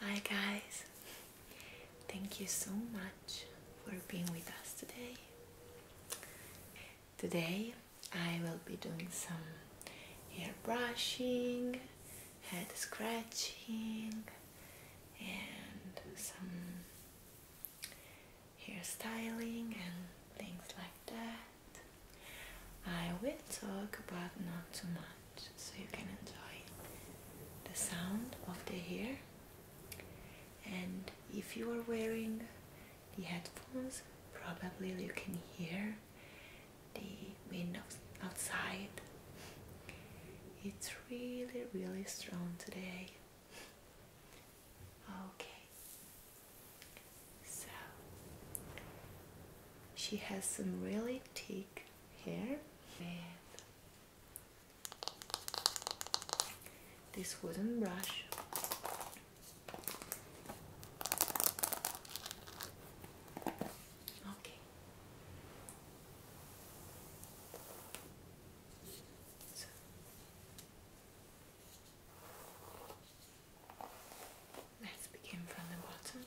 Hi guys, thank you so much for being with us today. Today I will be doing some hair brushing, head scratching and some hairstyling and things like that. I will talk but not too much so you can enjoy the sound of the hair and if you are wearing the headphones probably you can hear the wind outside. It's really really strong today. Okay, so she has some really thick hair with this wooden brush. Okay. So. Let's begin from the bottom.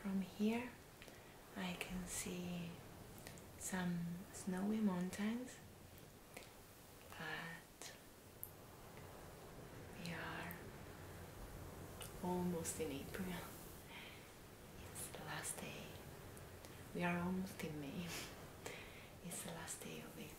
From here I can see some snowy mountains but we are almost in April it's the last day we are almost in May it's the last day of April.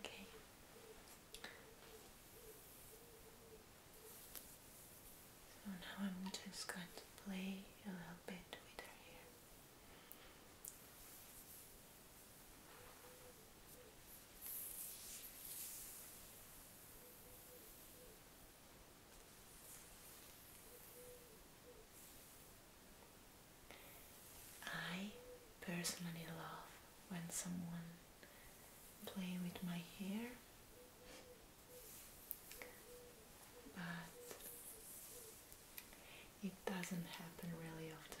Okay. So now I'm just going to play a little bit with her hair. I personally love when someone play with my hair but it doesn't happen really often.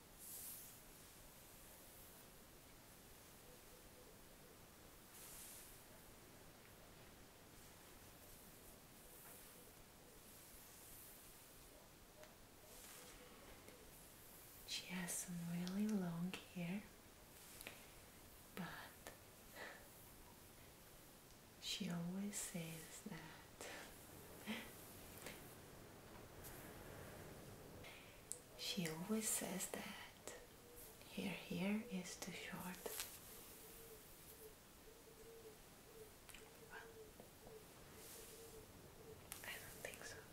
She has some really long hair, but she always says that she always says that Here, here is too short. I don't think so.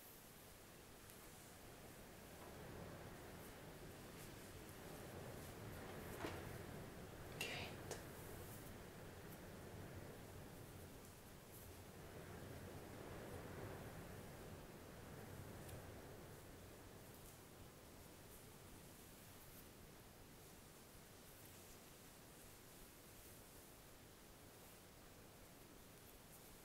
Kate.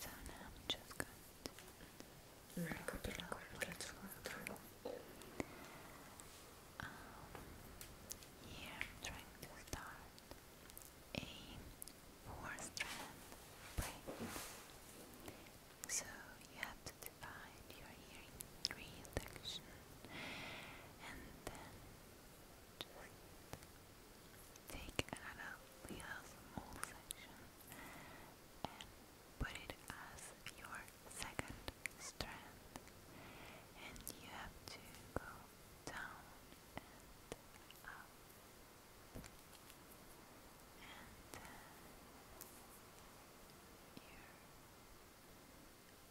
So now I'm just going to wrap it up um, I'm trying to start a four strand braid so you have to divide your hearing reinduction and then just take another wheelhouse mole section and put it as your second strand and you have to go down and up and ear,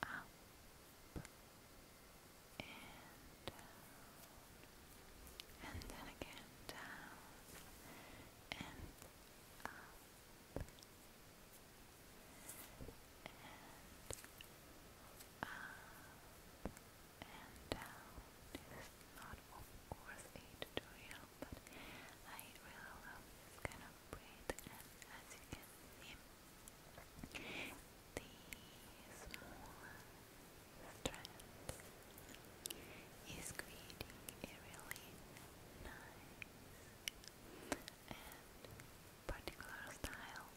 up and then again down and up and up and down. This is not, of course, a tutorial, but I really love this kind some as you can see the small strand is creating a really nice and particular style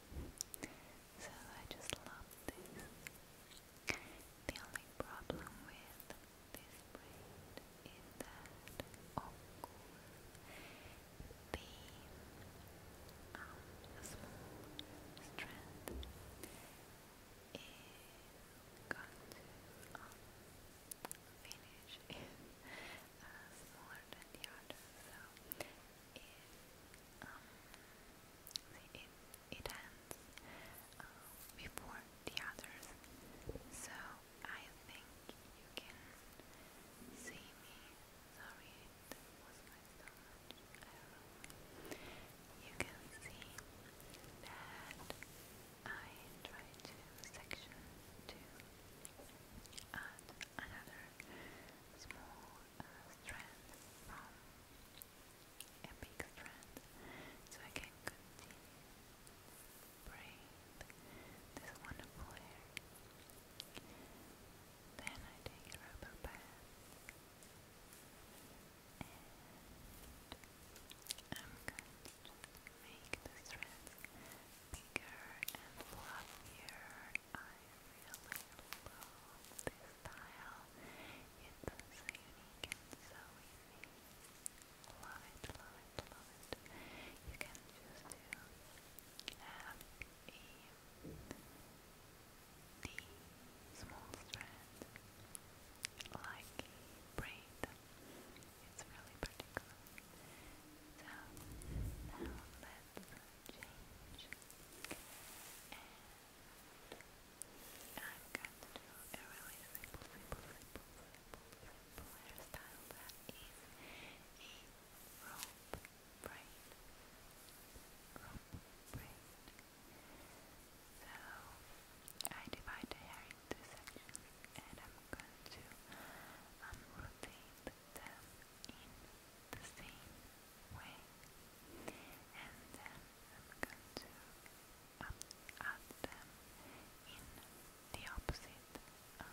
so I just love this the only problem with this braid is that of course the um, strand is going to finish is smaller than the other so it ends before the others so I think you can see me. Sorry, that was my stomach. You can see that I try to section to another small uh, strand from a big strand so I can continue breathe this wonderful air. Then I take a rubber band and I'm going to just make the threads bigger and fluffier. I really love this style. It's so unique and so easy. Love You can just do F E D small strand like braid. It's really particular. So now let's change and I'm going to do a really simple, simple, simple, beautiful hairstyle So I divide the hair into sections and I'm going to unrotate um, them in the same way. And then I'm going to um, add them in the opposite um,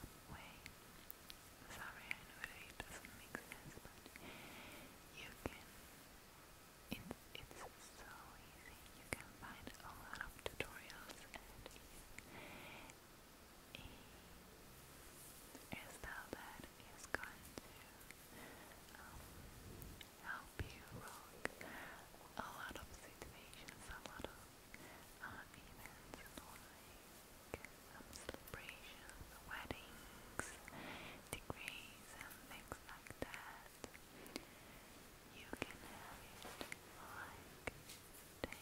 Sorry, I know that it doesn't make sense, but you can. it's so easy. You can find a lot of tutorials and a, a that is going to um, help you rock a lot of situations, a lot of are events celebrations, weddings, degrees and things like that. You can have it like days.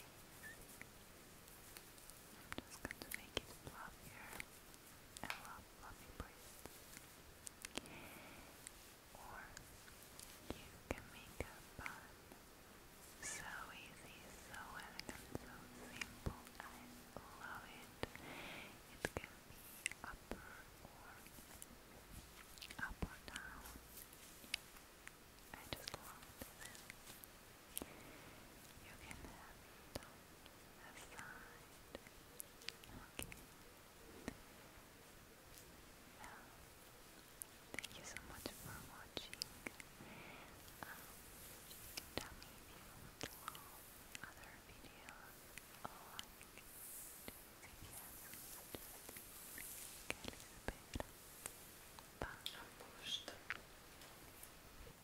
I'm just going to make it fluffier. I love Or you can make a bun so easy, so elegant, so simple. I love it. It can be upper or up or down. I just love this. You can have it on Okay. Thank you so much for watching. Um, tell me if you would love other videos on CBS. Bye.